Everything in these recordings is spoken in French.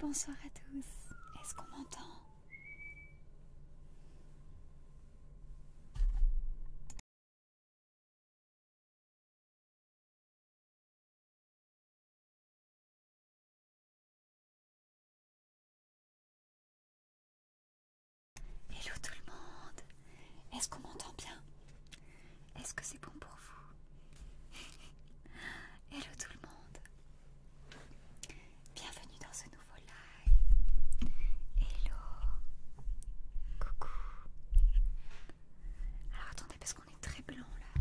Bonsoir à tous. Est-ce qu'on m'entend Hello tout le monde Est-ce qu'on m'entend bien Est-ce que c'est bon pour vous Hello tout le monde Bienvenue dans ce nouveau live Hello Coucou Alors attendez parce qu'on est très blanc là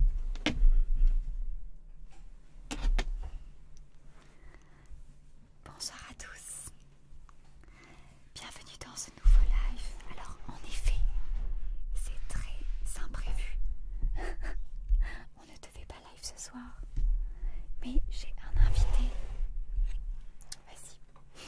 Bonsoir à tous. Bienvenue dans ce nouveau live. Alors en effet, c'est très imprévu. On ne devait pas live ce soir. Mais j'ai un invité. Vas-y.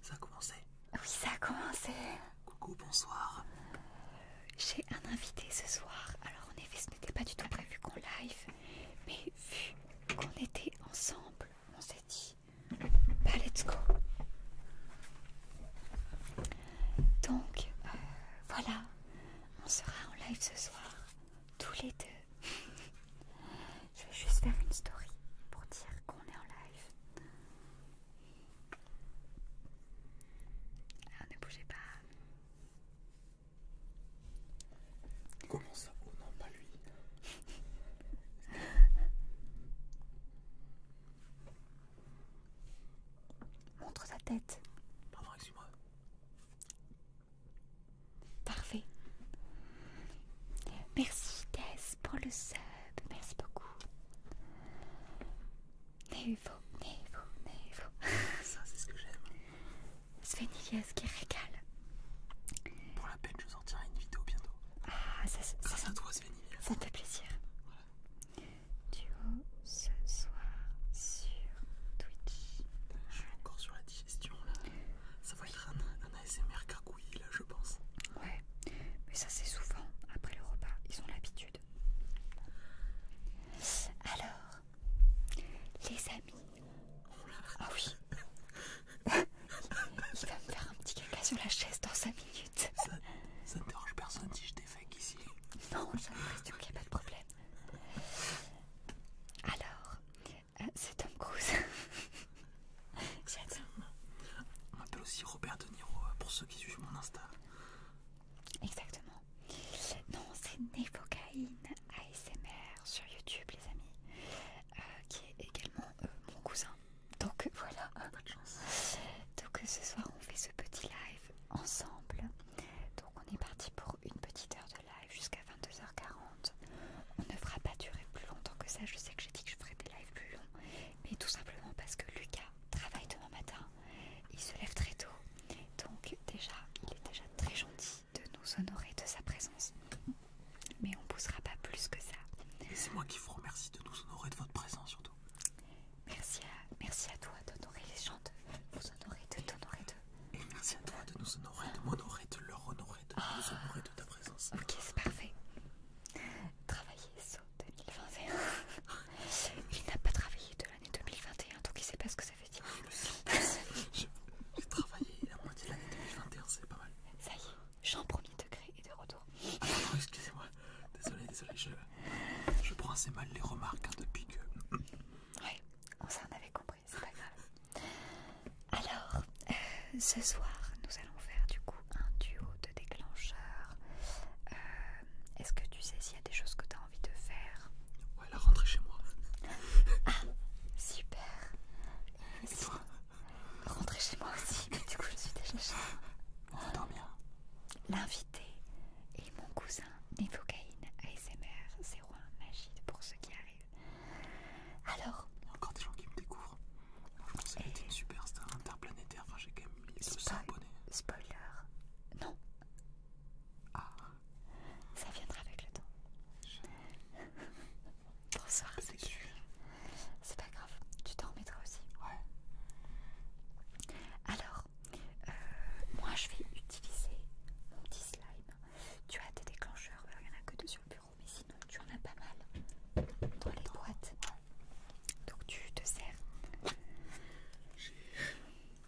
Ça a commencé. Ah oui, ça a commencé. Coucou, bonsoir. J'ai un invité ce soir. Alors en effet, ce n'était pas du tout prévu qu'on live, mais vu qu'on était ensemble, on s'est dit, bah let's go. Donc euh, voilà, on sera en live ce soir, tous les deux. Je vais juste faire une story pour dire qu'on est en live. Alors ah, ne bougez pas. Comment ça Oh non, pas lui. Montre sa tête. Pardon, moi Parfait. Merci Tess pour le sub. Merci beaucoup. Névo, Ça, c'est ce que j'aime. Sveniliez qui régale. Pour la peine, je sortirai une vidéo bientôt. Ah, ça, ça, à toi, Ça fait plaisir. Duo ce soir sur Twitch. Je suis encore sur la digestion là. Ça va y avoir un ASMR cacouille là, je pense. Ouais, mais ça, c'est souvent après le repas. Ils ont l'habitude. Alors, les amis. Ah oui. Il va me faire un petit caca sur la chaise dans 5 minutes. Ça, ne dérange personne si je défais ici. Non, ça l'impression qu'il n'y a pas de problème. Alors, euh, c'est Tom Cruise. On m'appelle aussi Robert De Niro euh, pour ceux qui suivent mon Insta. Exactement. Non, c'est Nevocaine ASMR sur YouTube, les amis, euh, qui est également euh, mon cousin. Donc voilà. Bonne chance. Donc ce soir, on fait ce petit live ensemble. Donc on est parti pour une petite heure de live jusqu'à 22h40. On ne fera pas durer plus longtemps que ça. Je sais que j'ai dit que je ferais des lives plus longs, mais tout simplement parce que Lucas travaille demain matin il se lève très tôt, donc déjà, il est déjà très gentil de nous honorer de sa présence. Mais on ne poussera pas plus que ça. Et c'est moi qui vous remercie de nous honorer de votre présence surtout. Merci à, merci à toi d'honorer les gens, de vous honorer, de t'honorer de... Et merci à toi de nous honorer, de m'honorer, de leur honorer, de nous honorer de ta présence. Ok, c'est parfait. Travailler saut 2021. il n'a pas travaillé de l'année 2021, donc il sait pas ce que ça veut dire. Ah, j'ai travaillé la moitié de l'année 2021, c'est pas mal. Ça y est, Jean premier degré et de retour. Ah excusez-moi, désolé, désolé, je, je prends assez mal les remarques hein, depuis que. Oui, on s'en avait compris, c'est pas grave. Alors, euh, ce soir, nous allons faire du coup un duo déclencheur. Euh, est-ce que tu sais s'il y a des choses que tu as envie de faire Ouais, la rentrer chez moi. Ah, super. Rentrer chez moi aussi, mais du coup je suis déjà chez moi. On L'invité et mon cousin Nevocaine ASMR 01 Magie pour ceux qui arrivent. Alors. encore des gens qui me découvrent. je pense que une star interplanétaire j'ai quand même Spoiler, non. Ah. Ça viendra avec le temps. Bonsoir, c'est C'est pas grave, tu t'en remettras aussi. Ouais. Alors, euh, moi je vais utiliser mon petit slime. Tu as tes déclencheurs, il n'y en a que deux sur le bureau, mais sinon tu en as pas mal dans les boîtes. Donc tu te sers.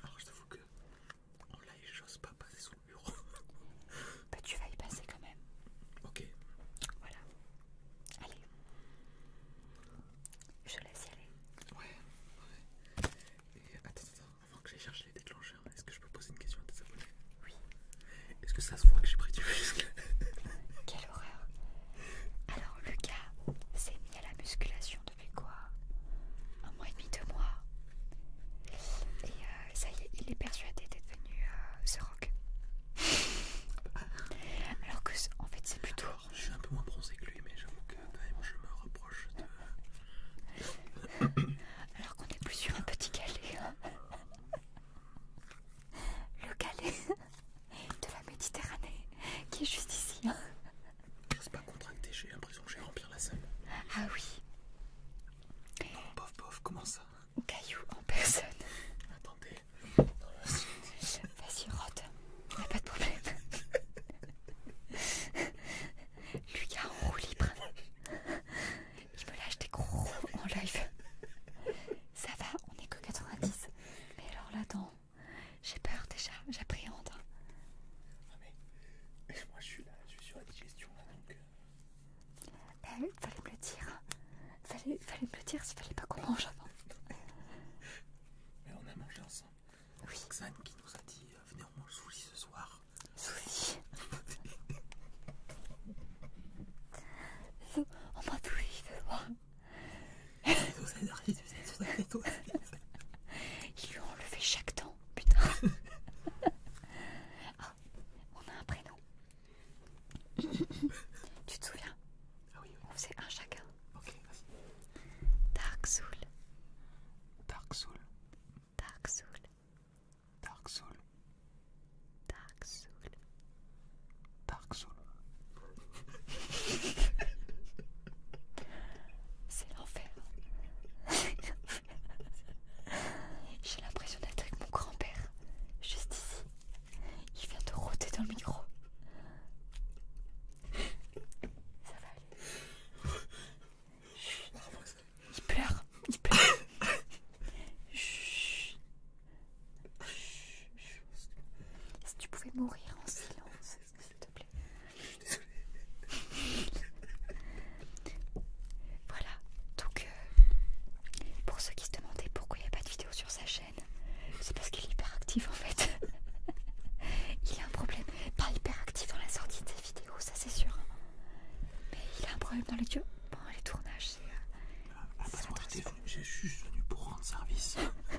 Alors je t'avoue que en live j'ose pas passer sous le bureau. Bah tu vas y passer quand même. Ok. Voilà. Allez. Je laisse y aller. Ouais, ouais. Et attends, attends, avant que j'aille chercher les déclencheurs, est-ce que je peux poser une question à tes abonnés Oui. Est-ce que ça se voit que j'ai pris du muscle alors Lucas s'est mis à la musculation depuis quoi Un mois et demi, deux mois. Et euh, ça y est, il est persuadé d'être venu euh, se Rock. Alors que en fait c'est plutôt... je suis un peu moins bronzé que lui mais j'avoue que quand même je me reproche de... Alors qu'on est plus sur un petit galet. Le galet de la Méditerranée qui est juste ici. Hein. C'est pas contracté, j'ai l'impression que j'ai rempli la salle. Ah oui. Non, bof, bof, comment ça Caillou en personne. Attendez. Vas-y, rod. Y'a pas de problème. Lucas en roue libre. Il me lâche des gros en live. Ça va, on est que 90. Mais alors là, dans j'ai peur déjà, j'appréhende. Ah mais, moi je suis là, je suis sur la digestion là donc. Euh. Eh Il fallait me le dire. Fallait, fallait me le dire s'il fallait pas qu'on mange avant. mais on a mangé ensemble. Oui. Xan qui nous a dit euh, venez manger mange ce soir. Souli. On va tout ce soir. Ils lui ont enlevé chaque temps putain. Ah, on a un prénom. tu te souviens Ah oui, oui. On faisait un chacun. Ok, vas-y. Dark Soul. Dark Soul. Dark Soul. Dark Soul. Dark Soul. C'est l'enfer. J'ai l'impression d'être avec mon grand-père, juste ici. Il vient de rôter dans le micro. Ça va aller. Il pleure, il pleure. Si tu pouvais mourir en silence s'il te plaît. voilà, donc euh, pour ceux qui se demandaient pourquoi il n'y a pas de vidéo sur sa chaîne, c'est parce qu'il est hyperactif en fait. il a un problème, pas hyperactif dans la sortie des vidéos, ça c'est sûr. Hein. Mais il a un problème dans les, tournages, euh, ah, ah, J'ai juste venu pour rendre service.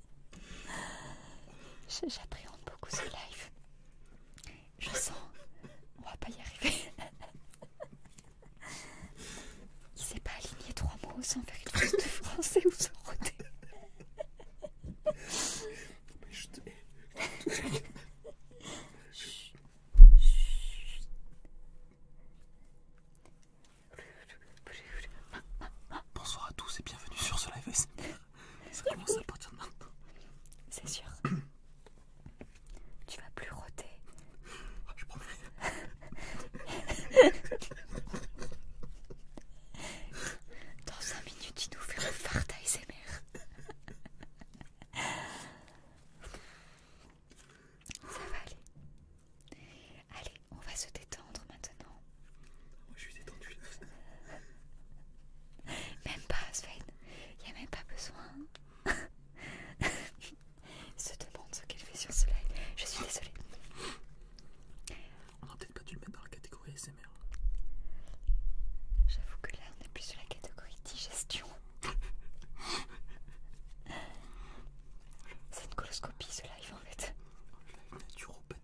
J'appréhende beaucoup ce live. Je sens, on va pas y arriver. Il s'est pas aligné trois mots sans faire une de français ou sans roter. Bonsoir à tous et bienvenue sur ce live. Ça commence à partir maintenant. C'est sûr. tu vas plus rôder. Ah, je promets. Dans 5 minutes, tu nous feront le fart à Ça va aller. Allez, on va se détendre maintenant. Moi, je suis détendu. Même pas, Sven. Il n'y a même pas besoin. se demande ce qu'elle fait sur ce live. Je suis désolée. On aurait peut-être pas dû le mettre dans la catégorie SMR. J'avoue que là, on est plus sur la catégorie digestion. C'est une coloscopie ce live en fait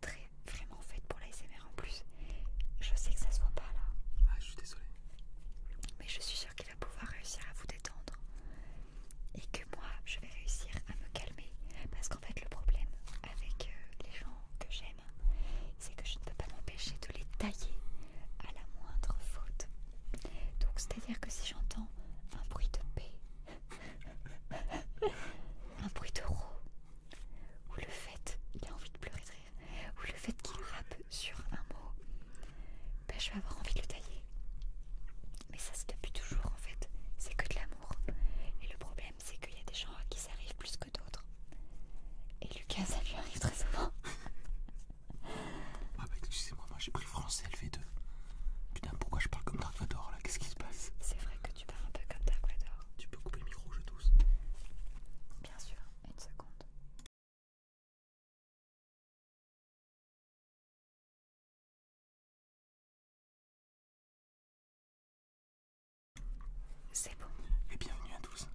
très vraiment faite pour l'ASMR en plus. Je sais que ça se voit pas là. Ah, je suis désolée. Mais je suis sûre qu'il va pouvoir réussir à vous détendre. Et que moi, je vais réussir à me calmer. Parce qu'en fait, le problème avec euh, les gens que j'aime, c'est que je ne peux pas m'empêcher de les tailler à la moindre faute. Donc, c'est-à-dire que si j'entends un bruit de paix, un bruit de roue, ou le fait, il a envie de pleurer ou le fait qu'il rappe sur un mot, ben, je vais avoir envie de le tailler. Mais ça c'est depuis toujours en fait, c'est que de l'amour. Et le problème c'est qu'il y a des gens à qui ça arrive plus que d'autres. Et Lucas ça lui arrive très souvent. ah bah excusez-moi, moi, j'ai pris français LV2. Putain pourquoi je parle comme Dark Vador là, qu'est-ce qui se passe C'est vrai que tu parles un peu comme Dark tu peux couper le micro, je tous. Bien sûr, une seconde. C'est bon. Et bienvenue à tous.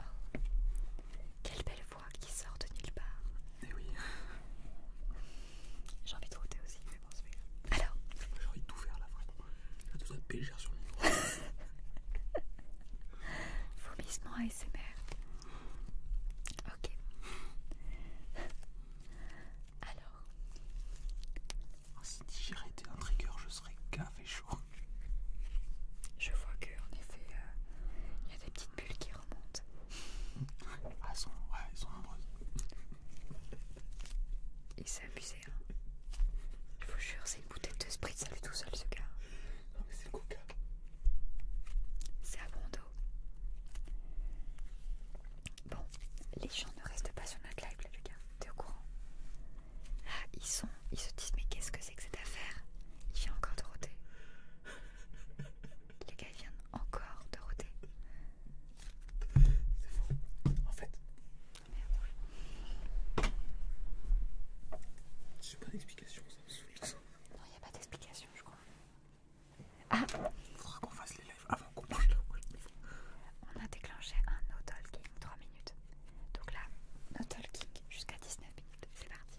Oh, quelle belle voix qui sort de nulle part. Eh oui. J'ai envie de router aussi, mais bon, c'est pas Alors J'ai envie de tout faire là, vraiment. Je à péger sur le à ASMR. Ok. Alors. Ah, si j'irais était un trigger, je serais café chaud. Je vois qu'en effet, euh, il y a des petites bulles qui remontent. Ah, elles sont, ouais, ils sont nombreuses. Et ça je vous jure, c'est une bouteille de Sprite, ça lui tout seul ce gars. Non, mais c'est le coca. C'est à dos. Bon, les gens ne restent pas sur notre live, là, les gars. T'es au courant Ah ils sont, ils se disent, mais qu'est-ce que c'est que cette affaire Il vient encore de roter. les gars, ils viennent encore de roter. C'est faux. En fait, Merde. J'ai pas d'explication, ça me saoule. Non, y a pas d'explication, je crois. Ah Faudra qu'on fasse les lives avant qu'on mange la On a déclenché un no talking 3 minutes. Donc là, no talking jusqu'à 19 minutes. C'est parti.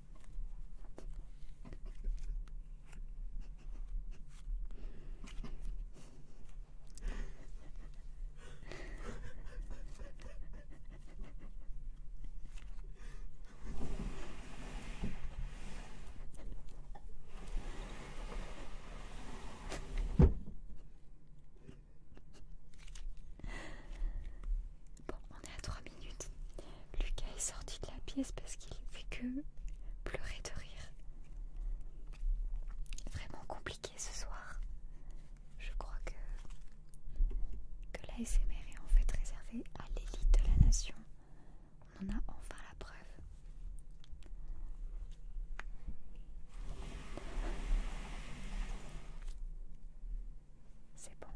Bon, on est à Lucas est sorti de la pièce parce qu'il ne fait que pleurer de rire. Vraiment compliqué ce soir. Je crois que, que l'ASMR est en fait réservé à l'élite de la nation. On en a enfin la preuve. C'est bon.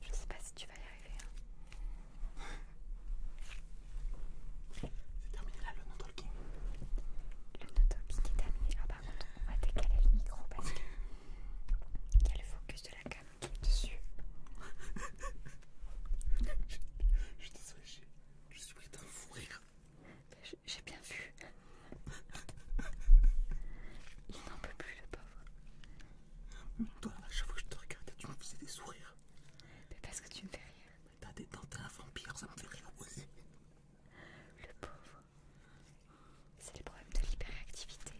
Je ne sais pas si tu vas y arriver. Hein. C'est terminé là le no talking. Le no talking est terminé. Ah, par contre, on va décaler le micro parce que il y a le focus de la cam qui est dessus. je, suis désolée, je suis pris à fou rire. J'ai bien vu. Il n'en peut plus, le pauvre. Toi, à chaque fois que je te regardais, tu me faisais des sourires. Mais parce que tu me fais rien mais T'as des dents, t'es un vampire, ça me fait rien. Le pauvre. C'est les problèmes de l'hyperactivité.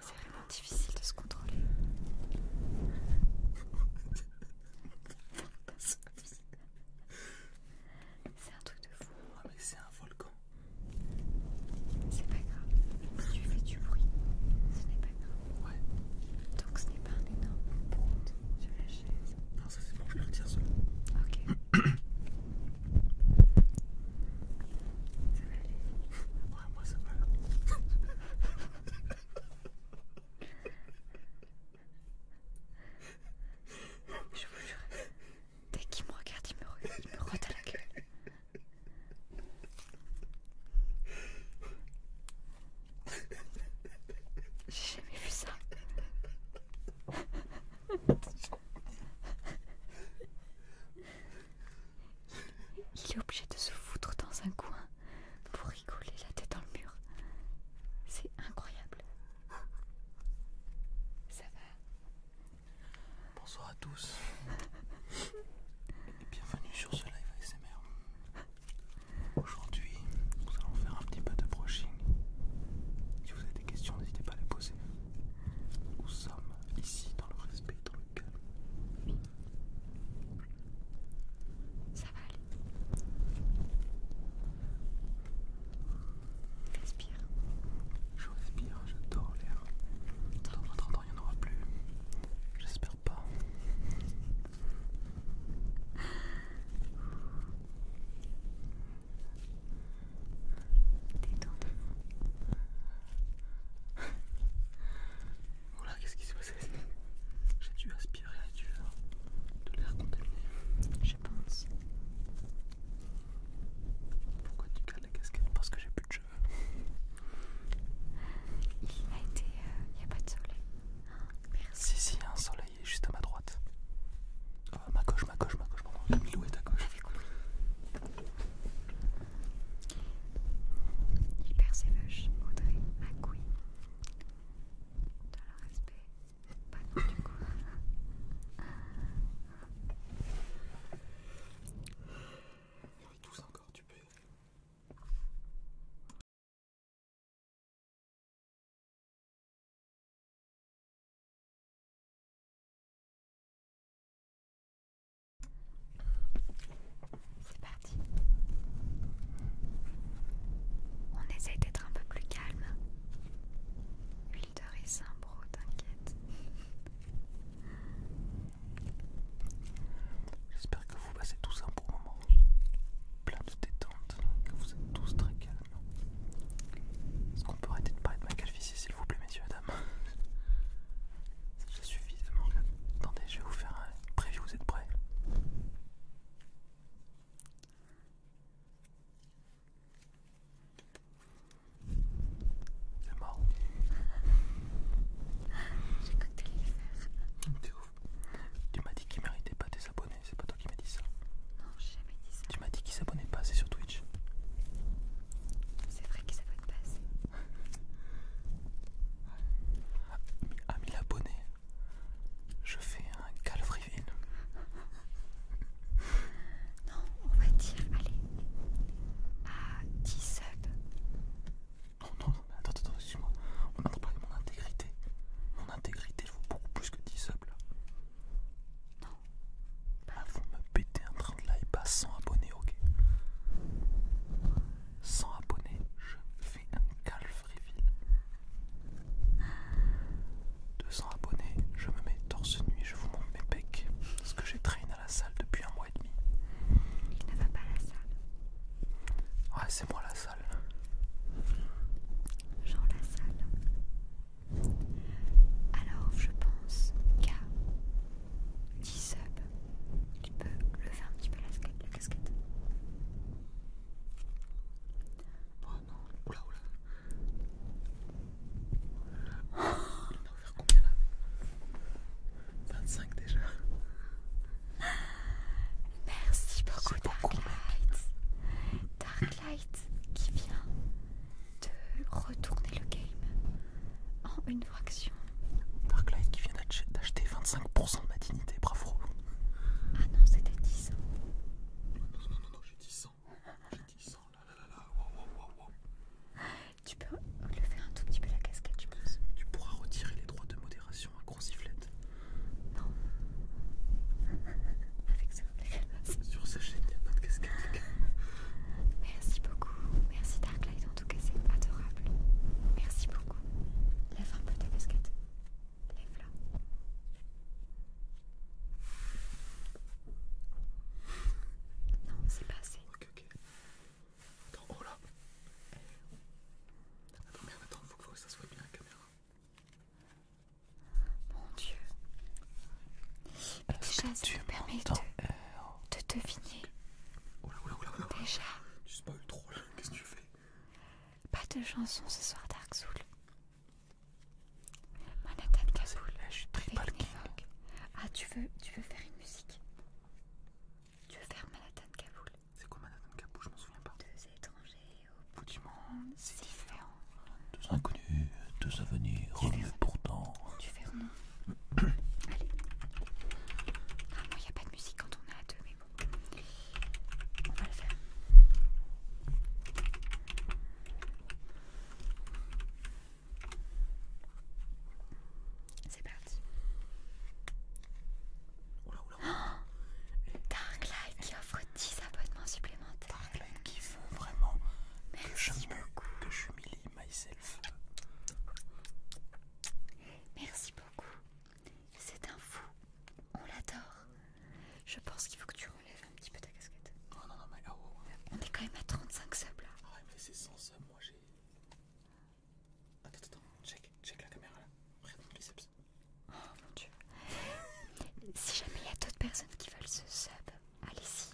C'est vraiment difficile de se contrôler. C'est un truc de fou. Ah, mais c'est un volcan. C'est pas grave. Si tu fais du bruit, ce n'est pas grave. Ouais. Donc ce n'est pas un énorme brute de la chaise. Non, ça c'est bon, je le retire seul. Ok. ça va aller. Ouais, moi ça va. Je vous jure, Dès qu'il me regarde, il me, il rote à la gueule. J'ai jamais vu ça. Il est obligé de se foutre dans un coin pour rigoler la tête dans le mur. C'est incroyable. Ça va Bonsoir à tous et bienvenue sur ce live ASMR. Aujourd'hui, nous allons faire un petit peu de brushing. Si vous avez des questions, n'hésitez pas à les poser. Nous sommes ici dans le respect, dans le calme. Ça va aller. Respire. Je respire, j'adore l'air. Dans il n'y en aura plus. J'espère pas. Détends-toi. qu'est-ce qui se passé J'ai dû aspirer j'ai du euh, de l'air contaminé je Pourquoi tu gardes la casquette Parce que j'ai plus de cheveux. Il a été. n'y euh, a pas de soleil. Si, si, il y a un soleil juste à ma droite. Euh, ma gauche, ma gauche, ma gauche, pardon. Mmh. lou est à gauche. Il persévage Audrey, Macoui, dans le respect pas du coup. Il y en tous encore, tu peux. C'est parti. On essaye d'être un peu plus calme. Hein, t'inquiète. J'espère que vous passez tous un bon moment, plein de détente, que vous êtes tous très calmes. Est-ce qu'on peut arrêter de parler de ma s'il vous plaît messieurs, dames C'est déjà suffisamment. Attendez, je vais vous faire un preview, vous êtes prêts c'est marrant. J'ai ouf. Tu m'as dit qu'il méritait pas tes abonnés, c'est pas toi qui m'as dit ça. Non, j'ai jamais dit ça. Tu m'as dit qu'il s'abonnait pas C'est sur Twitch. C'est vrai qu'il s'abonnaient pas assez. Ah, à 1000 abonnés, je fais un Calvaryville non, on va dire, allez, à 10 subs. Oh non, non, non, attends, attends, excuse-moi. On a parlé de mon intégrité. Mon intégrité vaut beaucoup plus que 10 subs là. Non. Là, vous ah, me pétez en train de live à 100 abonnés, ok 100 abonnés, je fais un calve 200 abonnés, je me mets torse nuit, je vous montre mes pecs, parce que j'ai traîné à la salle depuis un mois et demi. Il ne va pas à la salle. Ouais, c'est moi la salle. Genre la salle. Alors, je pense qu'à 10 subs, il peut lever un petit peu la, casquette. Oh non, oula oula. On a offert combien là 25 déjà. Merci beaucoup Darklight. Darklight qui vient de retourner le game en une fraction. Darklight qui vient d'acheter 25% de ma dignité, bravo. Ah non, c'était 10. ans. non, non, non, j'ai 10 ans. J'ai dit Tu peux faire un tout petit peu la casquette, tu penses Tu pourras retirer les droits de modération à gros sifflette. Non. Avec plaît Sur sa chaîne, il n'y a pas casquette. Merci beaucoup. Merci Darklight, en tout cas, c'est adorable. Merci beaucoup. Lève un peu ta casquette. Lève-la. Non, c'est pas assez. Ok, ok. Attends, oh là Attends, merde, attends, faut que ça soit bien la caméra. Mon dieu. Déjà, ça me permet de, de deviner. Oh là, oh là, oh là, oh là. Déjà. Tu pas trop là, qu'est-ce que tu fais Pas de chanson ce soir, Dark Soul. Manhattan Kaboul. je suis très Ah, tu veux, tu veux faire une musique Tu veux faire Manhattan Kaboul C'est quoi Manhattan Kaboul Je m'en souviens pas. Deux étrangers au bout du monde, c'est différent. Deux inconnus, deux avenirs, revenus pourtant. Tu fais non. Allez. Ah, non il n'y a pas de musique quand on est à deux, mais bon. On va le faire. C'est parti. Oula, Darklight qui offre 10 abonnements supplémentaires. Darklight qui veut vraiment Merci que j'humilie myself. Merci beaucoup. C'est un fou. On l'adore. Je pense qu'il faut que tu enlève un petit peu ta casquette. Oh non, non, mais ah, oh, oh. On est quand même à 35 subs là. Ah mais c'est 100 subs, moi j'ai. Attends, attends, check, check la caméra là. mon biceps. Oh mon dieu. si jamais il y a d'autres personnes qui veulent ce sub, allez-y.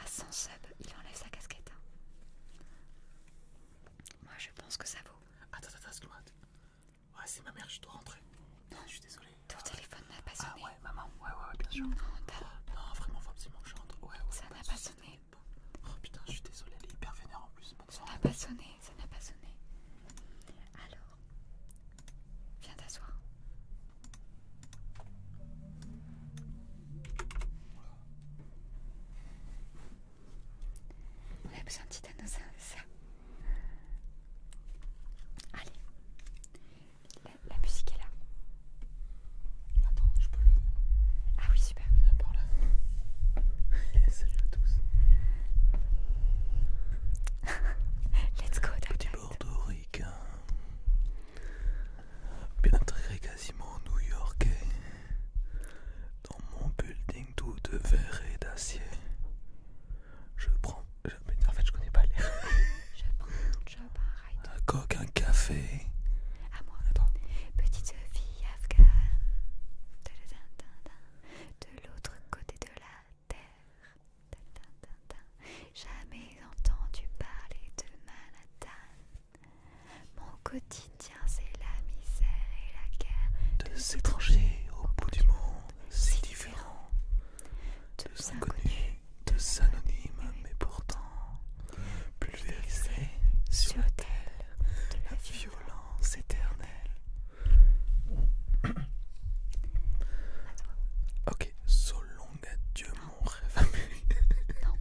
À 100 subs, il enlève sa casquette. Hein. Moi je pense que ça vaut. Attends, attends, excuse Ouais, c'est ma mère, je dois rentrer. Non, je suis désolé. Ah, Ton téléphone n'a pas ah, sonné maman, ouais, ouais, bien sûr. Mmh. Non, vraiment, faut absolument que je rentre. ça n'a pas, sonné. Oh putain, je suis désolée, elle est hyper vénère en plus. ça n'a pas sonné, ça n'a pas sonné. Alors, viens t'asseoir. On a besoin de c'est ça. Allez, la, musique est là. Attends, je peux le. Ah oui, super. Viens Salut à tous. Let's go, Petit ricain Bien intégré quasiment new-yorkais. Dans mon building tout de verre et d'acier. Je prends. en fait, je connais pas l'air. je un coq, un café. À moi. Petite fille afghane. De l'autre côté de la terre. Jamais entendu parler de Manhattan. Mon quotidien, c'est la misère et la guerre. Deux étrangers au bout du monde, si différents. Deux inconnus deux anonymes mais pourtant pulvérisés sur l'autel de la violence éternelle. Ok, selon long mon rêve. non,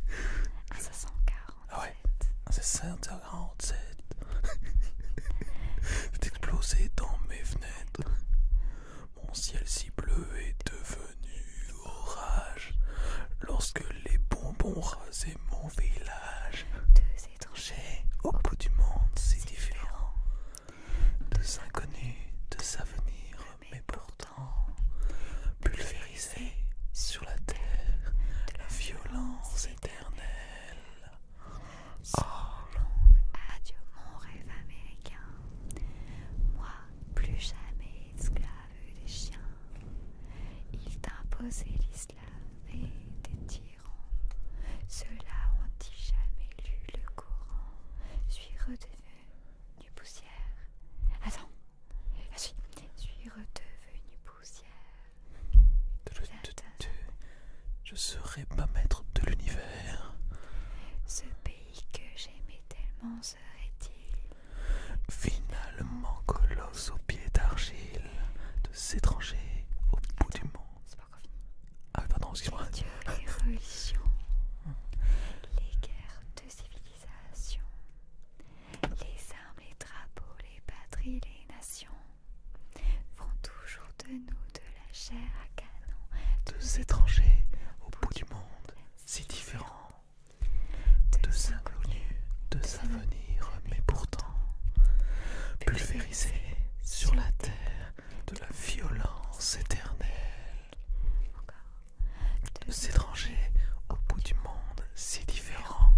1747. Ah ouais, 1747. C'est exploser dans mes fenêtres. Mon ciel si bleu est devenu orage lorsque les bonbons rasaient mon village. Deux étrangers au bout du monde si différent. deux inconnus, deux avenirs, mais pourtant pulvérisés sur la terre la violence éternelle. Oh. Adieu mon rêve américain, moi plus jamais esclaves des chiens, ils t'imposaient l'islam et des tyrans. Ceux-là ont-ils jamais lu le courant Suis redevenu poussière. Attends, je ah, suis, redevenu poussière. je serai pas maître de l'univers. Ce pays que j'aimais tellement Finalement, colosse au pied d'argile, de s'étranger au bout du monde. Ah pardon, excuse-moi. Les religions, les guerres de civilisation, les armes, les drapeaux, les patries, les nations vont toujours de nous de la chair à canon. Deux étrangers au bout du monde, si différent deux inconnus, de savenir mais pourtant pulvérisés sur la terre de la violence éternelle. Deux étrangers au bout du monde si différent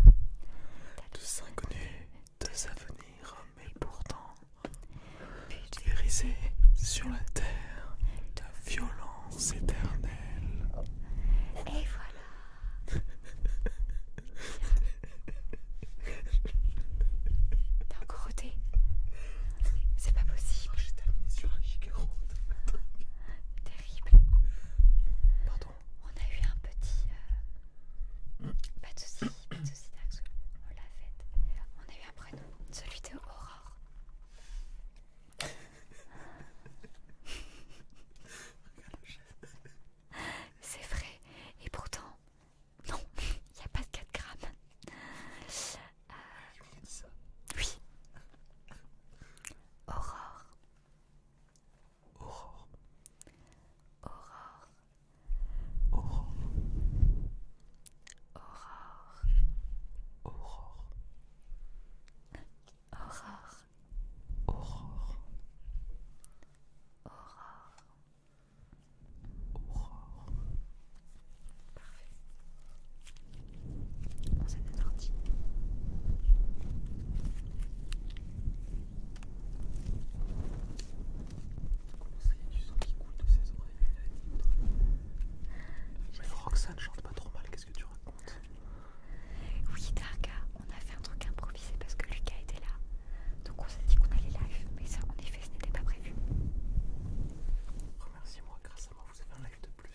Deux inconnus, deux avenirs, mais pourtant pulvérisés sur la terre de la violence éternel. Et voilà. T'as encore ôté C'est pas possible. J'ai terminé sur un Terrible. Pardon. On a eu un petit. Euh, pas de soucis, pas de soucis, On l'a fait. On a eu un prénom, celui de Aurore. C'est vrai, et pourtant, non, il n'y a pas de 4 grammes. Ah, oui. Aurore. Aurore. Aurore. Aurore. Aurore. Aurore. Aurore. Aurore. Aurore. Aurore. Parfait. On s'est désorti. Comment ça y est, du sens qui coule de ses oreilles Elle a dit. Mais Roxane chante pas trop mal, que tu racontes Oui, Darka, on a fait un truc improvisé parce que Lucas était là. Donc on s'est dit qu'on allait live, mais ça en effet ce n'était pas prévu. remercie moi grâce à moi vous avez un live de plus.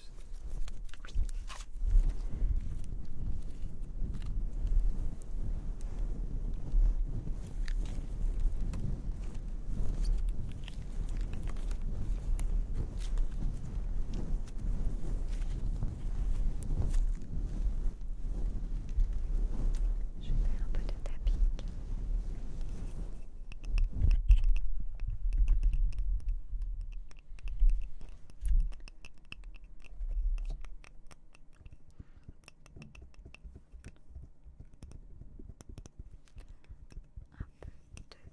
Je fais un peu de tapis.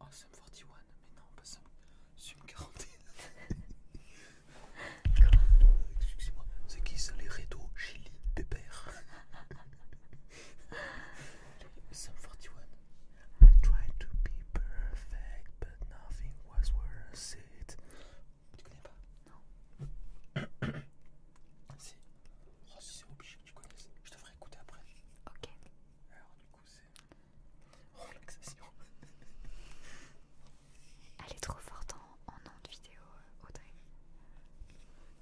Oh, Sum 41, mais non, pas Sum. Sum 41. Excusez-moi, c'est qui ça les Redo Chili Pépère Sum 41. I tried to be perfect, but nothing was worth it. Tu connais pas Non. si. Oh, si c'est obligé tu connais. Je te ferai écouter après. Ok. Alors, du coup, c'est. Oh, relaxation. Elle est trop forte en, nom ondes vidéo, euh, Audrey.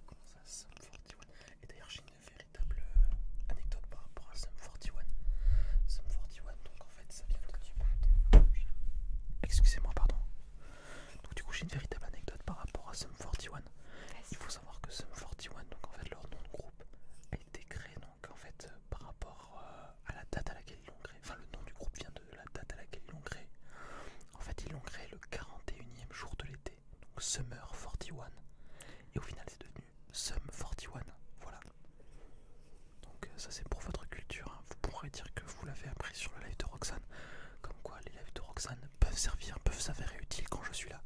Comment ça, Sum 41 Et d'ailleurs, j'ai une véritable euh, anecdote par rapport à Sum 41. Sum 41, donc en fait, ça vient de. Excusez-moi, pardon. Donc, du coup, j'ai une véritable anecdote par rapport à Sum 41. Il faut savoir que Sum 41, donc en fait, leur nom de groupe a été créé donc en fait euh, par rapport euh, à la date à laquelle ils l'ont créé, enfin le nom du groupe vient de la date à laquelle ils l'ont créé. En fait ils l'ont créé le 41e jour de l'été, donc Summer 41. Et au final c'est devenu Sum 41, voilà. Donc euh, ça c'est pour votre culture, hein. vous pourrez dire que vous l'avez appris sur le live de Roxane, comme quoi les lives de Roxane peuvent servir, peuvent s'avérer utiles quand je suis là.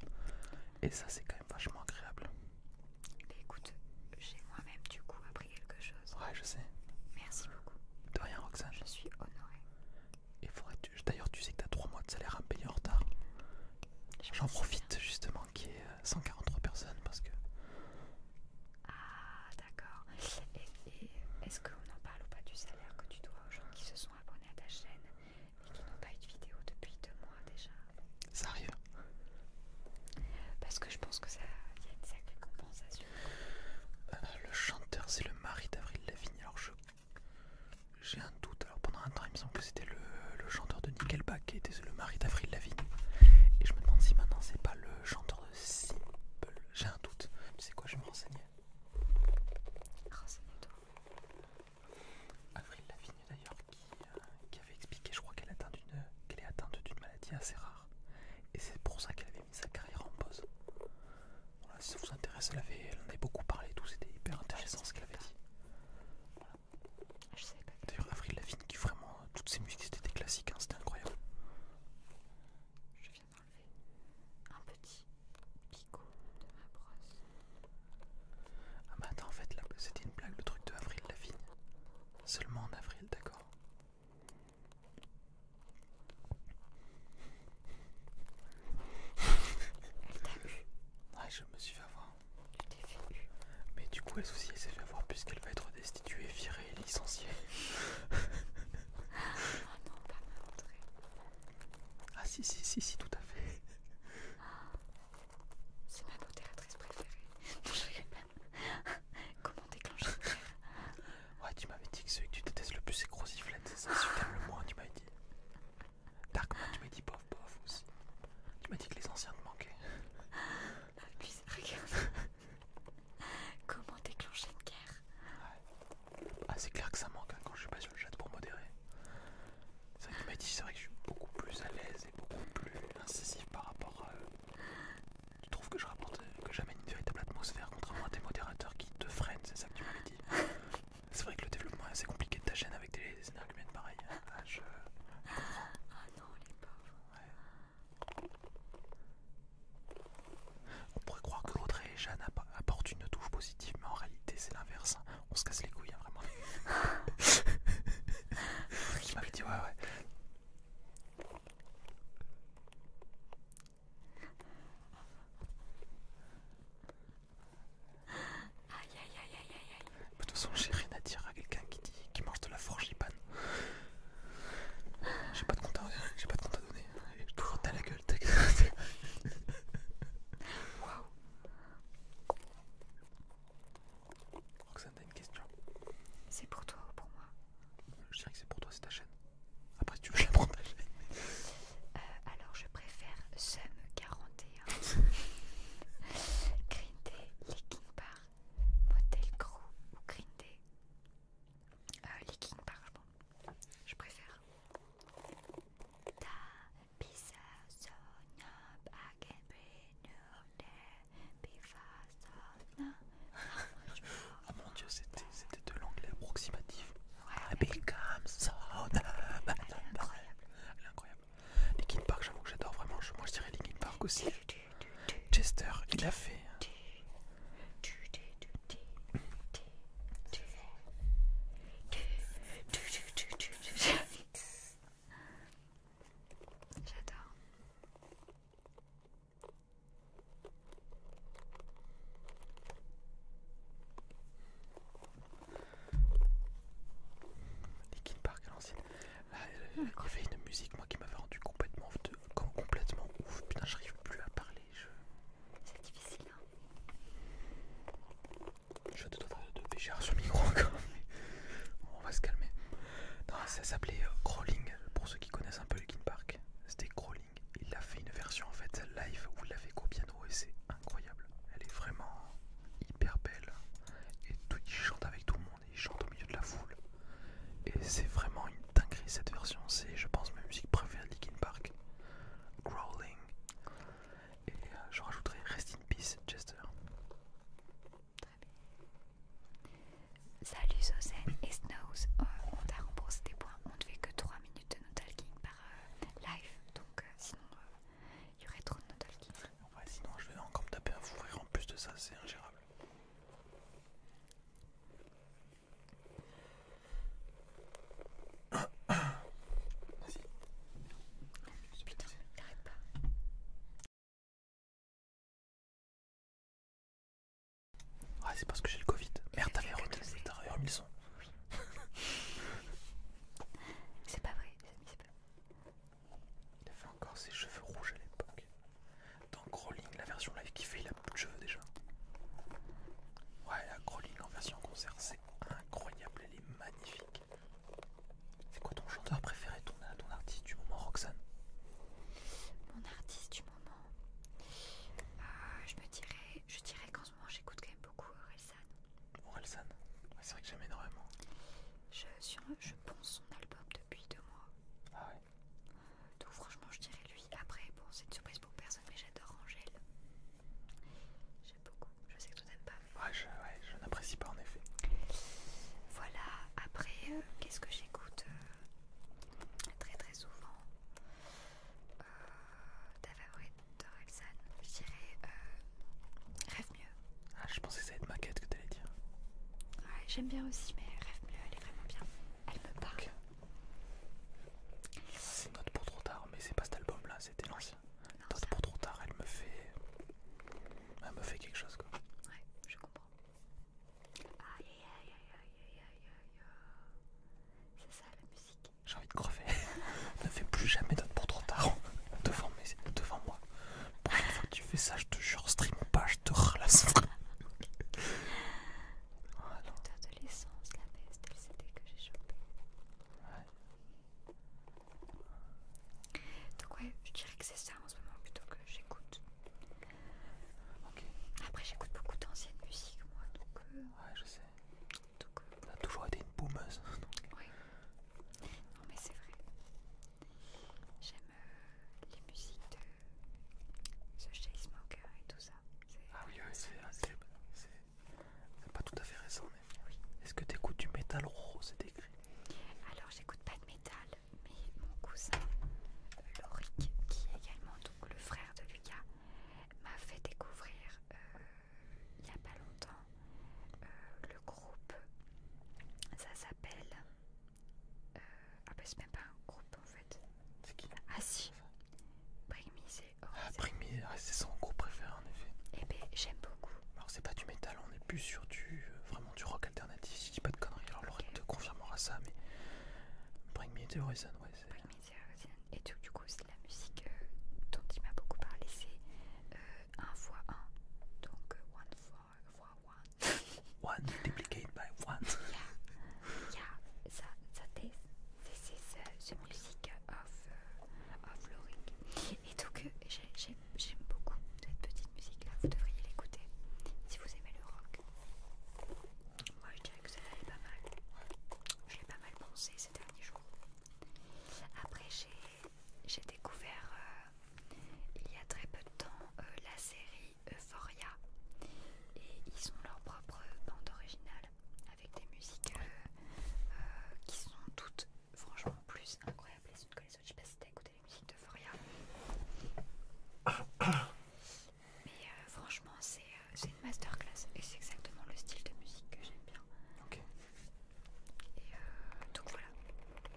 Et ça c'est quand même vachement agréable. Bah, écoute, j'ai moi-même du coup appris quelque chose. Ouais, je sais. Merci beaucoup. De rien, Roxane. Je suis honorée. Et faudrait D'ailleurs, tu sais que t'as 3 mois de salaire à payer en retard. J'en profite justement qu'il y ait 143 euh, personnes parce que. Ah, d'accord. Et, et est-ce qu'on en parle ou pas du salaire que tu dois aux gens qui se sont abonnés à ta chaîne et qui n'ont pas eu de vidéo depuis 2 mois déjà. Ça arrive. Parce que je pense que ça y a une sacrée compensation. Euh, le chanteur, c'est le mari d'Avril Lavigne. Alors je. J'ai un doute. Alors pendant un temps, il me semble que c'était le, le chanteur de Nickelback qui était le mari d'Avril Lavigne. Et je me demande si maintenant c'est pas le chanteur de Simple. J'ai un doute. Tu sais quoi, je vais me renseigner. Renseigne-toi. Avril Lavigne d'ailleurs. Euh, qui, avait expliqué, je crois qu'elle est atteinte d'une maladie assez rare. Et c'est pour ça qu'elle avait mis sa carrière en pause. Voilà, si ça vous intéresse, elle, elle en avait beaucoup parlé tout, c'était hyper intéressant ce qu'elle avait dit. D'ailleurs, Avril Lavigne qui vraiment, euh, toutes ses musiques étaient des classiques, hein, c'était incroyable. Je viens d'enlever un petit picot de ma brosse. Ah bah attends, en fait, c'était une blague le truc de Avril Lavigne. Seulement en avril, d'accord. ouais, je me suis fait avoir. Mais du coup, elle s'est fait avoir puisqu'elle va être destituée, virée licenciée. Ah, non, pas Ah si, si, si, si, tout à fait. Ah. C'est ma modératrice préférée. Comment déclencher une guerre Ouais, tu m'avais dit que celui que tu détestes le plus c'est Grosiflette, c'est ça c'est le moins, tu m'avais dit. Darkman, tu m'avais dit bof bof aussi. Tu m'as dit que les anciens te manquaient. Ah, puis regarde. Comment déclencher une guerre ouais. Ah, c'est clair que ça manque hein, quand je suis pas sur le chat pour modérer. C'est vrai que tu m'as dit, c'est vrai que je suis beaucoup plus à l'aise et beaucoup plus incisif par rapport à, euh, tu trouves que je rapporte, euh, que j'amène une véritable atmosphère, contrairement à tes modérateurs qui te freinent, c'est ça que tu m'avais dit C'est vrai que le développement est assez compliqué de ta chaîne avec des arguments pareils. Ah, ah non, les pauvres. On pourrait croire que l'autre et Jeanne apportent une touche positive, mais en réalité c'est l'inverse. Hein. On se casse les couilles, hein, vraiment. tu m'avais dit, ouais, ouais. Aïe aïe aïe aïe aïe aïe. De toute façon, j'ai rien à dire à quelqu'un qui dit qui mange de la forge J'ai pas de compte à, j'ai pas de compte à donner. toujours t'as la gueule, t'as Waouh. Je crois que ça t'a une question C'est pour toi ou pour moi Je dirais que c'est pour toi, c'est ta chaîne. Après, si tu veux, je la prends ta euh, alors, je préfère Sum41, Green Day, Leaking Bar, Motel Crew ou Green Day. Euh, Leaking Bar, je pense. Je préfère. Ta pizza, sonia, ah mon dieu, c'était de l'anglais approximatif. Elle est incroyable. Linkin Park, j'avoue que j'adore vraiment. Moi je dirais Linkin Park aussi. Chester, il a fait. J'adore. Linkin Park à l'ancienne. Euh, il y avait une musique moi qui m'avait rendu complètement, complètement ouf. Putain, j'arrive plus à parler. C'est difficile. Hein je dois te faire de pécher sur le micro encore. on va se calmer. Non, ça s'appelait euh, Crawling, pour ceux qui connaissent un peu Linkin Park. C'était Crawling. Il a fait une version en fait live où il fait qu'au piano et c'est incroyable. Elle est vraiment hyper belle. Et tout, il chante avec tout le monde il chante au milieu de la foule. Et c'est vraiment une dinguerie cette version. C'est, je pense, ma musique préférée de Linkin Park. Crawling. Et euh, je rajouterai Rest in Peace, Chester. Très bien. Salut Sozen et Snows, euh, on t'a remboursé des points, on ne fait que 3 minutes de notalking par euh, live, donc euh, sinon il y aurait trop de notalking. Ouais, sinon je vais encore me taper un fou en plus de ça, c'est ingérable. Vas-y. Putain, pas. Ah c'est parce que j'ai le Covid. Merde t'avais remis le son. c'est pas vrai, c'est pas Il avait encore ses cheveux rouges à l'époque. Dans Crawling, la version live qui fait, il a de cheveux déjà. Ouais, la Crawling en version concert, c'est incroyable, elle est magnifique. C'est quoi ton chanteur préféré, ton, euh, ton artiste du moment, Roxane Mon artiste du moment euh, Je me dirais, je dirais qu'en ce moment j'écoute quand même beaucoup Orelsan. Orelsan C'est vrai que j'aime énormément. Je, pense son album depuis deux mois. Ah ouais Donc franchement je dirais lui. Après, bon c'est une surprise pour personne mais j'adore Angèle. J'aime beaucoup. Je sais que tu n'aimes pas. ouais, je n'apprécie pas en effet. Voilà, après, euh, qu'est-ce que j'écoute euh, très très souvent euh, Ta favorite de Roxane Je dirais Rêve mieux. Ah, je pensais que ça allait être ma quête que t'allais dire. Ouais, j'aime bien aussi, mais Rêve mieux, elle est vraiment bien. Elle me parle. C'est Note pour trop tard, mais c'est pas cet album là, c'était l'ancien. Note pour trop tard, elle me fait. Elle me fait quelque chose quoi. Ouais, je comprends. Aïe aïe aïe aïe aïe aïe aïe. C'est ça la musique. J'ai envie de crever. ne fais plus jamais d'autres pour trop tard devant, mes... devant moi. Pour fois que tu fais ça, je te jure, stream pas, je te relasse. de L'adolescence, la baisse le que j'ai chopé. Donc ouais, je dirais que c'est ça en ce moment plutôt que j'écoute. Après, j'écoute beaucoup d'anciennes musiques, moi, donc. Euh, ouais, je sais. Donc, euh, a toujours été une boumeuse. oui. Non, mais c'est vrai. J'aime euh, les musiques de The Chainsmokers et tout ça. Ah oui, oui c'est pas tout à fait récent, mais. Oui. Est-ce que t'écoutes du métal rose oh, C'est écrit. Alors, j'écoute pas de métal, mais mon cousin euh, Lauric qui est également donc le frère de Lucas, m'a fait découvrir euh, il n'y a pas longtemps euh, le groupe. Ça s'appelle. ah, bah c'est même pas un groupe en fait. C'est qui Ah, si c'est Ah, c'est son groupe préféré en effet. Eh ben, j'aime beaucoup. Alors, c'est pas du métal, on est plus sur du. vraiment du rock si je dis pas de conneries, alors Laura te confirmera ça, mais Bring Me the Horizon, ouais. Bring Me the Horizon, et donc du coup, c'est la musique euh, dont il m'a beaucoup parlé, c'est 1 x 1, donc 1 x 1. 1 multiplied by 1. Yeah, yeah, ça, ça This is the music of, euh, Et donc, euh, j'ai j'aime beaucoup cette petite musique là, vous devriez l'écouter si vous aimez le rock. Moi je dirais que ça là pas mal. Je l'ai pas mal pensé ces derniers jours. Après j'ai découvert euh, il y a très peu de temps euh, la série Euphoria et ils ont leur propre bande originale avec des musiques euh, qui sont toutes franchement plus incroyables les unes que les autres. Je sais pas si t'as écouté musiques Mais euh, franchement, euh, c'est une masterclass et c'est exactement le style de musique que j'aime bien. Ok. Et euh, donc voilà.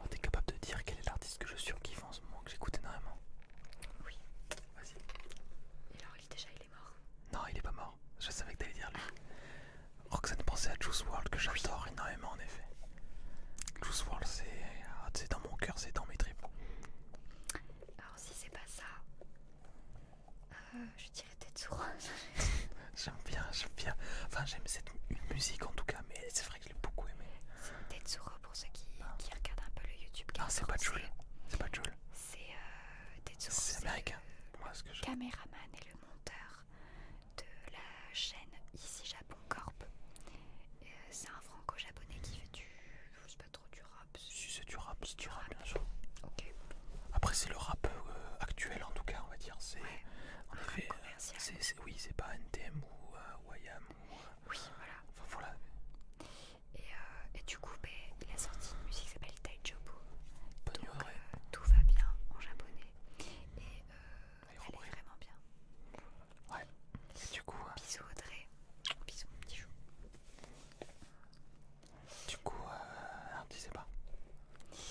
t'es capable de dire quel est l'artiste que je suis en ce moment, que j'écoute énormément Oui. Vas-y. Et alors, il, déjà, il est mort Non, il est pas mort. Je savais que t'allais dire lui. ça Roxane pensait à Juice World que j'adore énormément en effet. Juice WRLD ah, c'est dans mon cœur, c'est dans mes tripes. Alors si c'est pas ça, euh, je dirais Tetsuro. j'aime bien, j'aime bien. Enfin j'aime cette musique en tout cas, mais c'est vrai que je beaucoup aimé. C'est Tetsuro pour ceux ah. qui, regardent un peu le YouTube. Ah c'est pas Jules, c'est pas Jules. C'est euh, Tetsuro. C'est américain. Le, Moi, ce que je... Caméraman et le monteur de la chaîne ici Japon Corp. Euh, c'est un franco-japonais qui fait du. Je sais pas trop du rap. Si c'est du rap, c'est du rap, bien sûr. Ok. Après, c'est le rap euh, actuel en tout cas, on va dire. C'est. En effet. oui, c'est pas NTM ou IAM. Euh, ou. Euh, oui, voilà. Et, du coup, ben, il a sorti une musique qui s'appelle Taijobo donc, tout va bien en japonais. Et euh, vraiment bien. Ouais. du coup. Euh, bisous Audrey. Bisous petit chou. Du coup, euh, disais pas.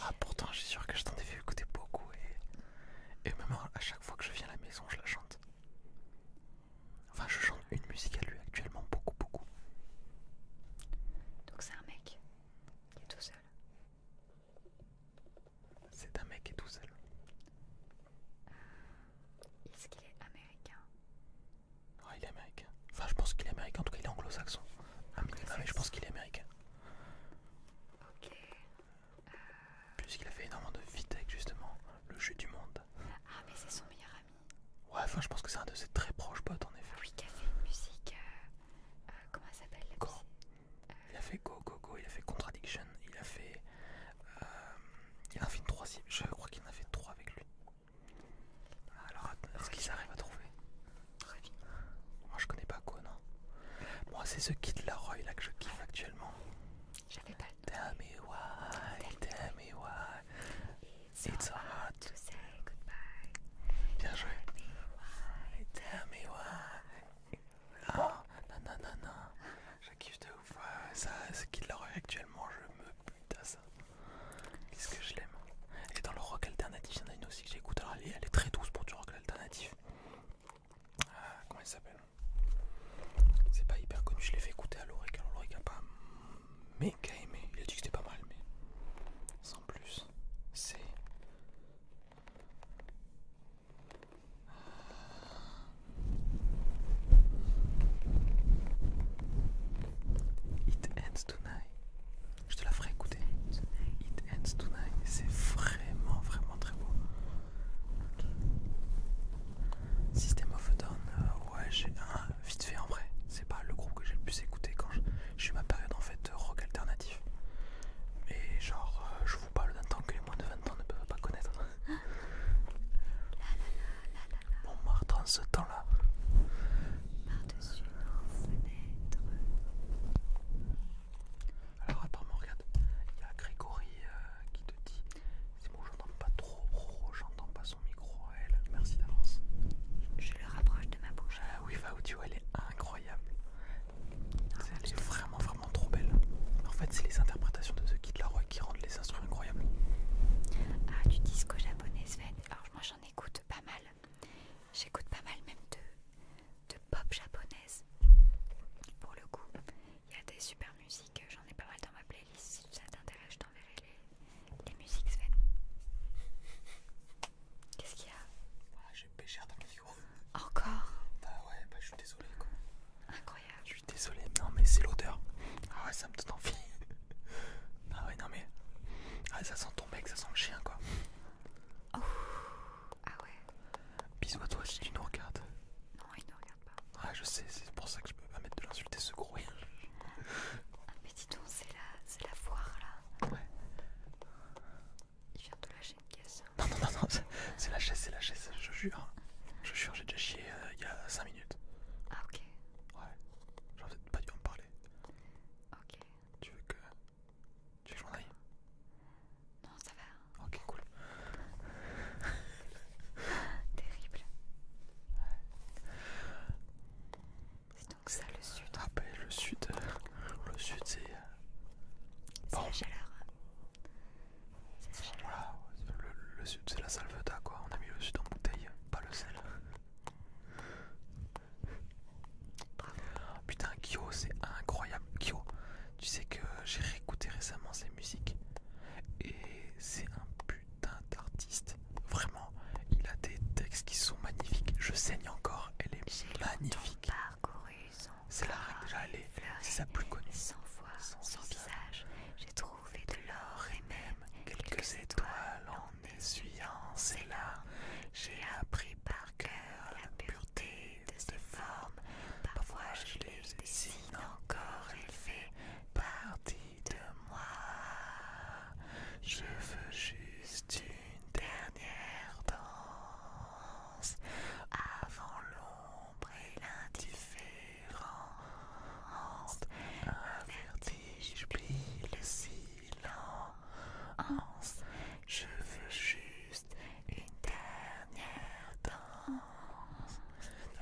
Ah pourtant, j'ai sûr que je t'en ai fait écouter beaucoup et et même à chaque fois que je viens à la maison, je la chante. Enfin, je chante une musique à lui actuellement beaucoup beaucoup. Donc c'est un mec qui est tout seul. C'est un mec qui est tout seul. Euh, est-ce qu'il est américain Ouais, il est américain. Enfin, je pense qu'il est américain, en tout cas, il est anglo-saxon. Ah, mais ah, je pense qu'il est américain. Ok. Euh. Puisqu'il a fait énormément de Vitek justement le jeu du monde. Ah, mais c'est son meilleur ami. Ouais, enfin, je pense que c'est un de ses très proches potes en effet. Oui, qui a fait une musique. Euh, comment elle s'appelle il a fait Go Go Go, il a fait Contradiction, il a fait. Euh, il a fait 3 je crois qu'il en a fait trois avec lui. Alors est-ce qu'ils arrivent à trouver Moi je connais pas Go, non Moi c'est ce kit Roy là que je kiffe actuellement. J'avais pas Tell me why, tell me why. It's, Bien joué. Tell me why. Tell me why. Ah, non, non, non, non je ça, ce qu'il actuellement, je me bute à ça. que je l'aime. Et dans le rock alternatif, il y en a une aussi que j'écoute. Alors elle est, elle est très douce pour du rock alternatif. Ah, comment elle s'appelle C'est pas hyper connu, je l'ai fait écouter à Loric. Alors Loric a pas méga aimé. Il a dit que c'était pas mal, mais sans plus. C'est. It ends tonight. Je te la ferai écouter. It ends tonight. C'est vraiment, vraiment très beau. System of a Down, euh, ouais, j'ai un vite fait en vrai. C'est pas le groupe que j'ai le plus écouté quand je, suis ma période en fait rock alternatif. Mais genre, euh, je vous parle d'un temps que les moins de 20 ans ne peuvent pas connaître marte en ce temps-là. Par-dessus nos fenêtres. Alors attends, regarde, il y a Grégory euh, qui te dit c'est bon, j'entends pas trop, oh, oh, oh, j'entends pas son micro elle. Merci d'avance. Je le rapproche de ma bouche. Euh, oui, va elle est incroyable. C'est elle est vraiment, vraiment trop belle. En fait, c'est les interprétations de The Kid roy qui rendent les instruments incroyables. Ah, du disco japonais, Sven. Alors, moi j'en écoute pas mal. J'écoute pas mal même de, de pop japonaise. Pour le coup, il y a des super musiques. J'en ai pas mal dans ma playlist. Si ça t'intéresse, je t'enverrai les, musiques, Sven. Qu'est-ce qu'il y a ah, J'ai péché dans le micro. Encore Bah ouais, bah je suis désolé quoi. Incroyable. Je suis désolé, non mais c'est l'odeur. Ah ouais, ça me donne envie. Ah ouais, non mais. Ah, ça sent ton mec, ça sent le chien quoi. Ah ouais. Bisous à toi si tu nous regardes. Non, il ne regarde pas. Ah, je sais, c'est pour ça que je peux pas mettre de l'insulter ce gros. Ah mais dis donc, c'est la, la foire là. Ouais. Il vient de lâcher une caisse. Non, non, non, non c'est la chaise, c'est la chaise, je jure. Je jure, j'ai déjà chié euh, il y a 5 minutes. Ah, ok. Ouais, j'aurais peut-être pas dû en parler. Ok. Tu veux que. Tu veux que aille Non, ça va. Ok, cool. Terrible. C'est donc ça le sud. Ah, bah, le sud. Euh, le sud, c'est. Euh, c'est la chaleur. Voilà, le, sud c'est la salveta quoi, on a mis le sud en bouteille, pas le sel. Putain Kyo c'est incroyable Kyo tu sais que j'ai réécouté récemment ses musiques et c'est un putain d'artiste vraiment il a des textes qui sont magnifiques je saigne encore elle est magnifique c'est la règle déjà c'est sa plus connue son, visage, j'ai trouvé de l'or et même quelques étoiles en essuyant et larmes. J'ai appris par cœur la pureté de ses formes. Parfois je les dessine encore, il fait partie de moi. Je veux juste une dernière danse avant l'ombre et l'indifférence un vertige plie le silence. Je veux juste une dernière danse.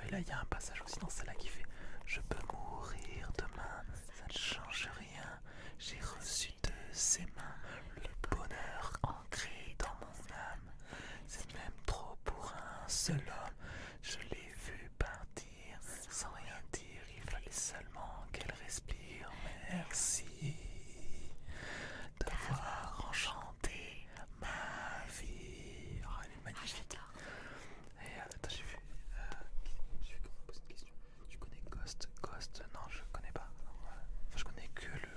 Ah, là, il y a un passage aussi dans celle-là qui fait Je peux mourir demain, ça ne change rien. J'ai reçu de ses mains le bonheur ancré dans mon âme. C'est même trop pour un seul homme. Je l'ai vu partir sans rien dire. Il fallait seulement qu'elle respire. Merci d'avoir enchanté ma vie. Oh, elle est magnifique. Ah, Et euh, attends, j'ai vu. Euh, j'ai vu comment poser une question. Tu connais Ghost Ghost Non, je connais pas. Enfin, je connais que le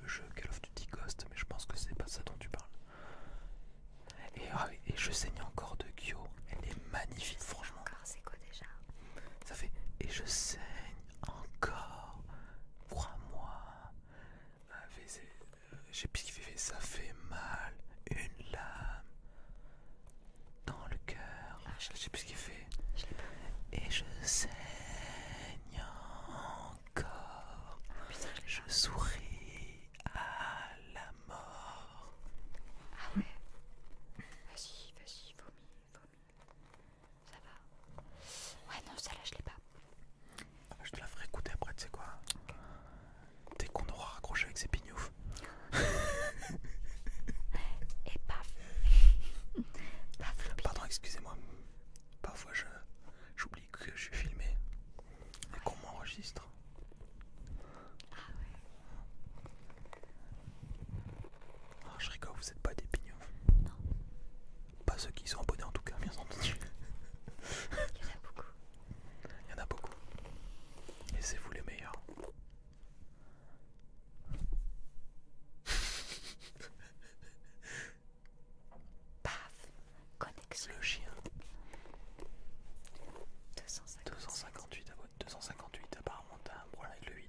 le jeu Call of Duty Ghost, mais je pense que c'est pas ça dont tu parles. Et, ah, je saigne encore de Kyo, elle est magnifique, franchement. Encore, c'est quoi déjà Ça fait et je saigne encore, crois-moi. ce qu'il fait, ça fait mal, une lame dans le cœur. Ah, je je sais plus ce qu'il fait. Et je saigne je, souris à la mort. Ah ouais. Vas-y, vas-y, vomis, vomis. Ça va. Ouais, non, celle-là, je l'ai pas. je te la ferai écouter après, tu sais quoi. Dès qu'on aura raccroché avec ses pignoufs. Et paf. Pardon, excusez-moi. Parfois, je que je suis filmé et qu'on m'enregistre. Ah, ah je rigole, vous êtes pas des pignons. Non. Pas ceux qui sont abonnés en tout cas, bien entendu. Il y en a beaucoup. Il y en a beaucoup. Et c'est vous les meilleurs. Paf Connexion. Le chien. 258. 258 abonnés. 258, apparemment t'as un problème avec le 8.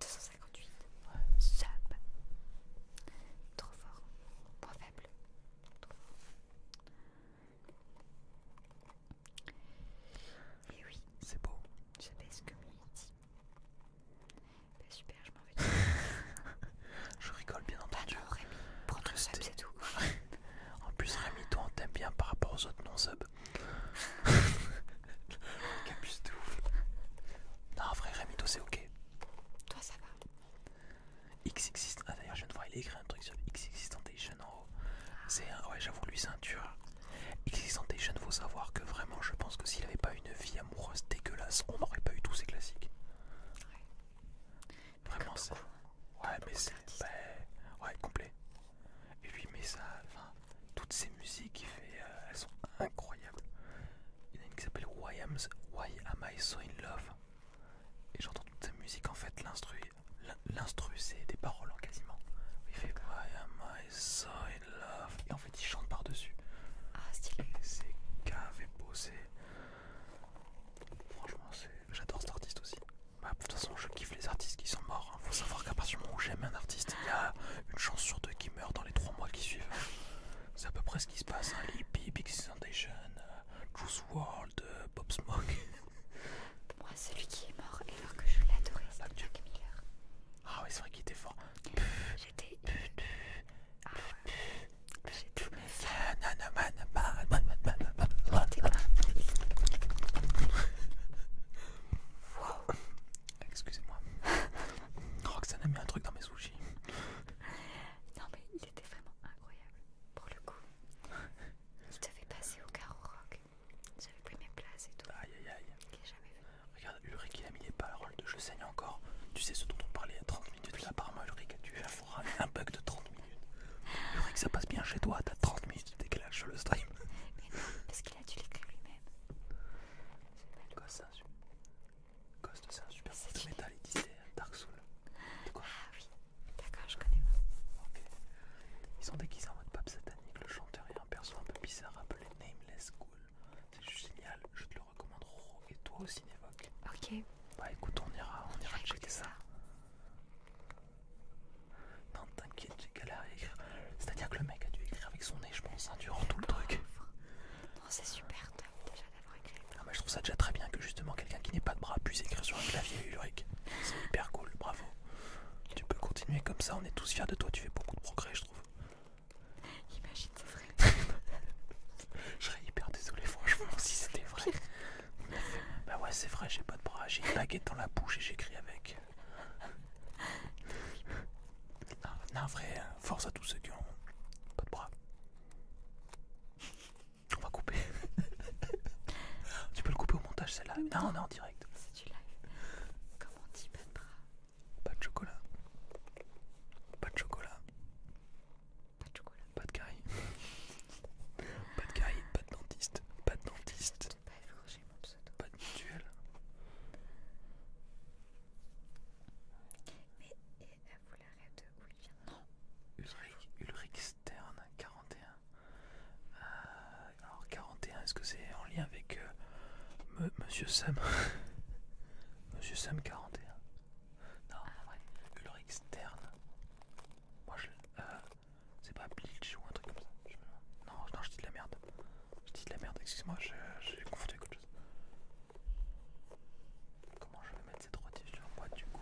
258. Ouais. Sub. Trop fort. Point faible. Trop fort. Et oui. C'est beau. Je baisse ce que dit. Bah super, je rigole bien entendu. Rémi, c'est tout. en plus Rémi, toi on t'aime bien par rapport aux autres non-subs. Capus de ouf. Non, en vrai Rémi, toi c'est ok. Toi ça va. X existe. Ah, d'ailleurs, je viens de voir, il a écrit un truc sur Tentation en haut. Ah. C'est Ouais, j'avoue, lui c'est un tueur. Tentation faut savoir que vraiment, je pense que s'il avait pas une vie amoureuse dégueulasse, on n'aurait pas eu tous ces classiques. Ouais. Vraiment, c'est. Ouais, mais c'est. ouais, complet. Et lui, mais ça. Enfin, toutes ces musiques il fait, euh, elles sont incroyables. Il y en a une qui s'appelle Why, Why Am I So in Love Et j'entends toute sa musique, en fait, l'instru. L'instru, c'est des paroles en hein, quasiment. Il fait Why Am I So in Love Et en fait, il chante par-dessus. Ah, stylé. C'est et beau, c'est. Franchement, j'adore cet artiste aussi. Bah, de toute façon, je kiffe les artistes qui sont morts. Il hein. Faut savoir qu'à partir du moment où j'aime un artiste, il y a une chance sur deux qu'il meurt dans les trois mois qui suivent. C'est à peu près ce qui se passe. Hein. Big Citation, euh, Juice World, euh, Bob Smoke. Moi, celui qui est mort, alors que je adoré, c'est Jack Miller. Ah, oui, c'est vrai qu'il était fort. J'étais. Ah, j'ai tout le Wow. Excusez-moi. Roxane a mis un truc dans mes sushis. Non mais il était vraiment incroyable. Pour le coup. Il devait passé au carreau rock. J'avais pris mes places et tout. Aïe aïe aïe. Regarde, Ulrich il a mis les paroles de Je saigne encore. Tu sais ce dont on parlait il y a 30 minutes là par moi Ulrich, tu un bug de 30 minutes. Il faudrait que ça passe bien chez toi, t'as 30 minutes de décalage sur le stream. Mais non, parce qu'il a dû l'écrire lui-même. Ghost, c'est un super groupe de metal, et disait Dark Soul. Quoi ah oui, d'accord, je connais pas. Ils sont déguisés en mode pape satanique, le chanteur est un perso un peu bizarre appelé Nameless Ghoul. C'est juste génial, je te le recommande, et toi aussi Nevoque. Ok. Bah écoute, on ira, on ira checker ça. Non, t'inquiète, j'ai galéré à écrire. C'est-à-dire que le mec a dû écrire avec son nez, je pense, hein, durant tout le truc. Non, c'est super top déjà d'avoir écrit. Ah, je trouve ça déjà très bien que justement quelqu'un qui n'ait pas de bras puisse écrire sur un clavier Ulrich. C'est hyper cool, bravo. Tu peux continuer comme ça, on est tous fiers de toi, tu fais beaucoup de progrès, je trouve. Imagine, Je serais hyper désolé, franchement, si c'était vrai. Bah ouais, c'est vrai, j'ai pas de bras, j'ai une baguette dans la bouche et j'écris avec. Non, non, vrai, hein. force à tous ceux qui ont pas de bras. On va couper. tu peux le couper au montage, celle-là Non, on est en direct. C'est du live. Comment on dit, pas de bras. Pas de chocolat. Pas de chocolat. Pas de chocolat. Pas de carie. pas de carie, pas de dentiste. Pas de dentiste. Pas de mutuelle. Mais euh, vous l'arrêtez de où Non. Ulrich, Ulrich Stern 41. Euh, alors 41, est-ce que c'est en lien avec euh, Monsieur Sam Monsieur Sam 41. Non, Ulrich ouais. externe. Moi je. Euh, c'est pas bleach ou un truc comme ça. Non, non, je dis de la merde. Je dis de la merde, excuse-moi, j'ai confondu quelque chose. Comment je vais mettre cette rôtie sur moi du coup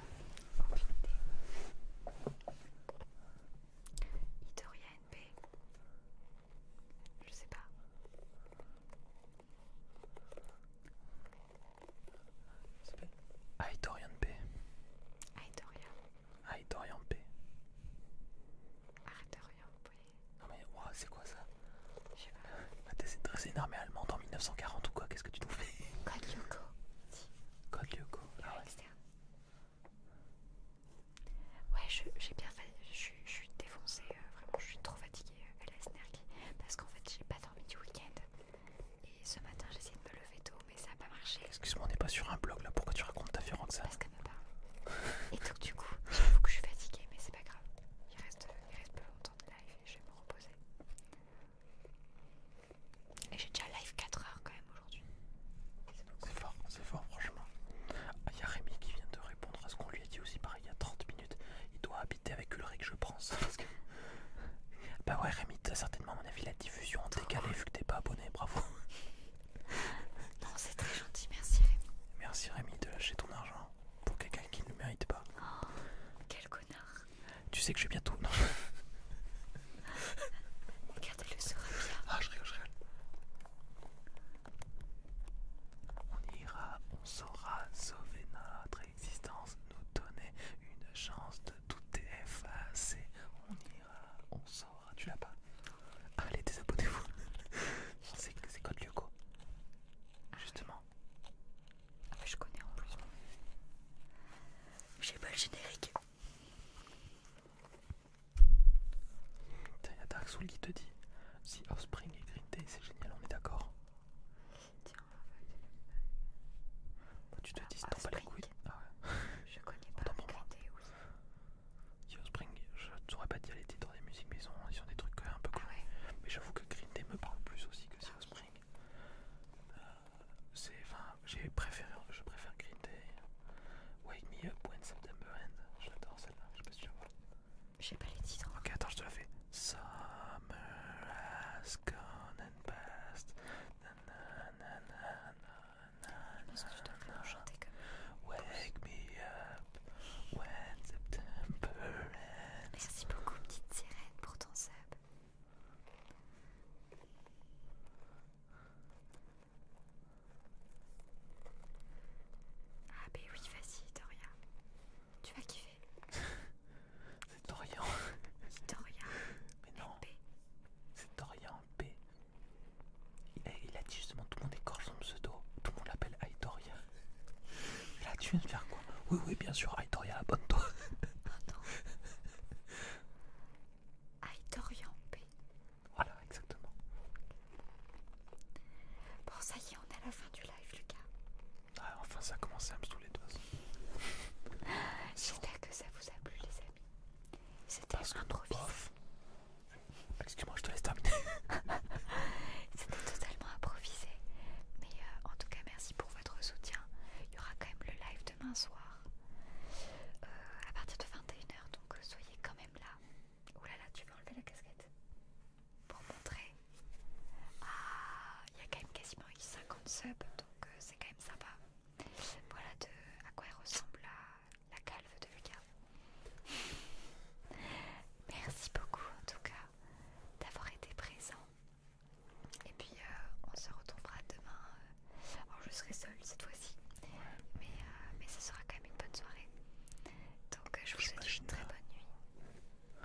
Idoria NP. Je sais pas. Ça P. Aidorian P. Aidorian P. Non mais, c'est quoi ça Je sais pas. T'essaies de une armée allemande en 1940 ou quoi Qu'est-ce que tu te fais Code Lyoko. Code Ah ouais. Ouais, j'ai bien fait. Je suis défoncée, euh, vraiment, je suis trop fatiguée, euh, à la e Parce qu'en fait, j'ai pas dormi du week-end. Et ce matin, j'ai essayé de me lever tôt, mais ça n'a pas marché. Excuse-moi, on n'est pas sur un blog là, pourquoi tu racontes ta vie, ça Parce qu'elle me parle. et donc, du coup, je suis fatiguée, mais c'est pas grave. Il reste, il reste peu longtemps de live et je vais me reposer. Et j'ai déjà live 4 heures quand même aujourd'hui. C'est fort, c'est fort, franchement. Il ah, y a Rémi qui vient de répondre à ce qu'on lui a dit aussi, pareil, il y a 30 minutes. Il doit habiter avec Ulrich, je pense. Bah ouais Rémi, t'as certainement à mon avis la diffusion en décalé vu que t'es pas abonné, bravo. Non, c'est très gentil, merci Rémi. Merci Rémi de lâcher ton argent pour quelqu'un qui ne le mérite pas. Oh, quel connard. Tu sais que j'ai bien bientôt... Non. Regardez-le saura bien. Ah, je rigole, je On ira, on saura sauver notre l'existence nous donnait une chance de tout effacer. On ira, on saura, tu l'as pas Allez, désabonnez-vous. C'est Code Lyoko. Justement. Ah, mais je connais en plus. J'ai pas le générique. Tiens, il Dark Soul qui te dit si Offspring est Green c'est génial, on est d'accord. Bah, tu te ah, dis, pas les couilles. Ah je connais pas Green Day aussi. Si Spring, je t'aurais pas dit les dans des musiques, mais hein, ils ont, des trucs un peu ah cool. Mais j'avoue que Green Day me parle plus aussi que au Spring. Euh, c'est, enfin, j'ai préféré, je préfère Green Day. Wake Me Up When September End. J'adore celle-là, je sais pas si tu la J'ai pas les titres. Ok, attends, je te la fais and past. Wake me up when September ends. Merci beaucoup, petite sirène, pour ton sub. Ah, ben oui, vas-y, Doria. Tu vas kiffer. C'est Dorian. Dorian. Mais non. C'est Dorian B. Il a, dit justement tout le monde est écorche son pseudo. Tout le monde l'appelle Aitoria. Là tu viens de faire quoi Oui oui bien sûr Aitoria abonne-toi. non. Aitorian P. Voilà exactement. Bon ça y est on est à la fin du live Lucas. Ah, enfin, ça a commencé à me saouler de toute J'espère que ça vous a plu, les amis. C'était improvisé. Excuse-moi, je te laisse terminer. C'était totalement improvisé. Mais euh, en tout cas, merci pour votre soutien. Il y aura quand même le live demain soir euh, à partir de 21h. Donc, euh, soyez quand même là. Oulala tu veux enlever la casquette pour montrer. Ah, il y a quand même quasiment 50 subs donc euh, c'est quand même sympa. Voilà de, à quoi elle ressemble la, calve de Lucas. Merci beaucoup en tout cas d'avoir été présent. Et puis euh, on se retrouvera demain. Euh, je serai seule cette fois-ci, mais, mais ce sera quand même une bonne soirée. Donc je vous souhaite une très hein. bonne nuit.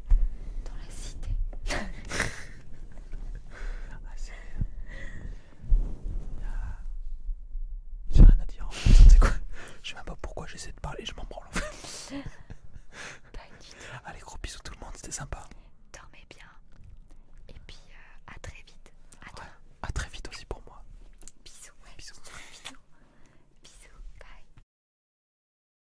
dans la cité. ah, c'est. Ah. J'ai rien à dire Je sais même pas pourquoi j'essaie de parler, je m'en branle Allez, gros bisous tout le monde, c'était sympa. Dormez bien. Et puis euh, à très vite. À, très vite aussi pour moi. Bisous. Bisous. Bisous. Bye.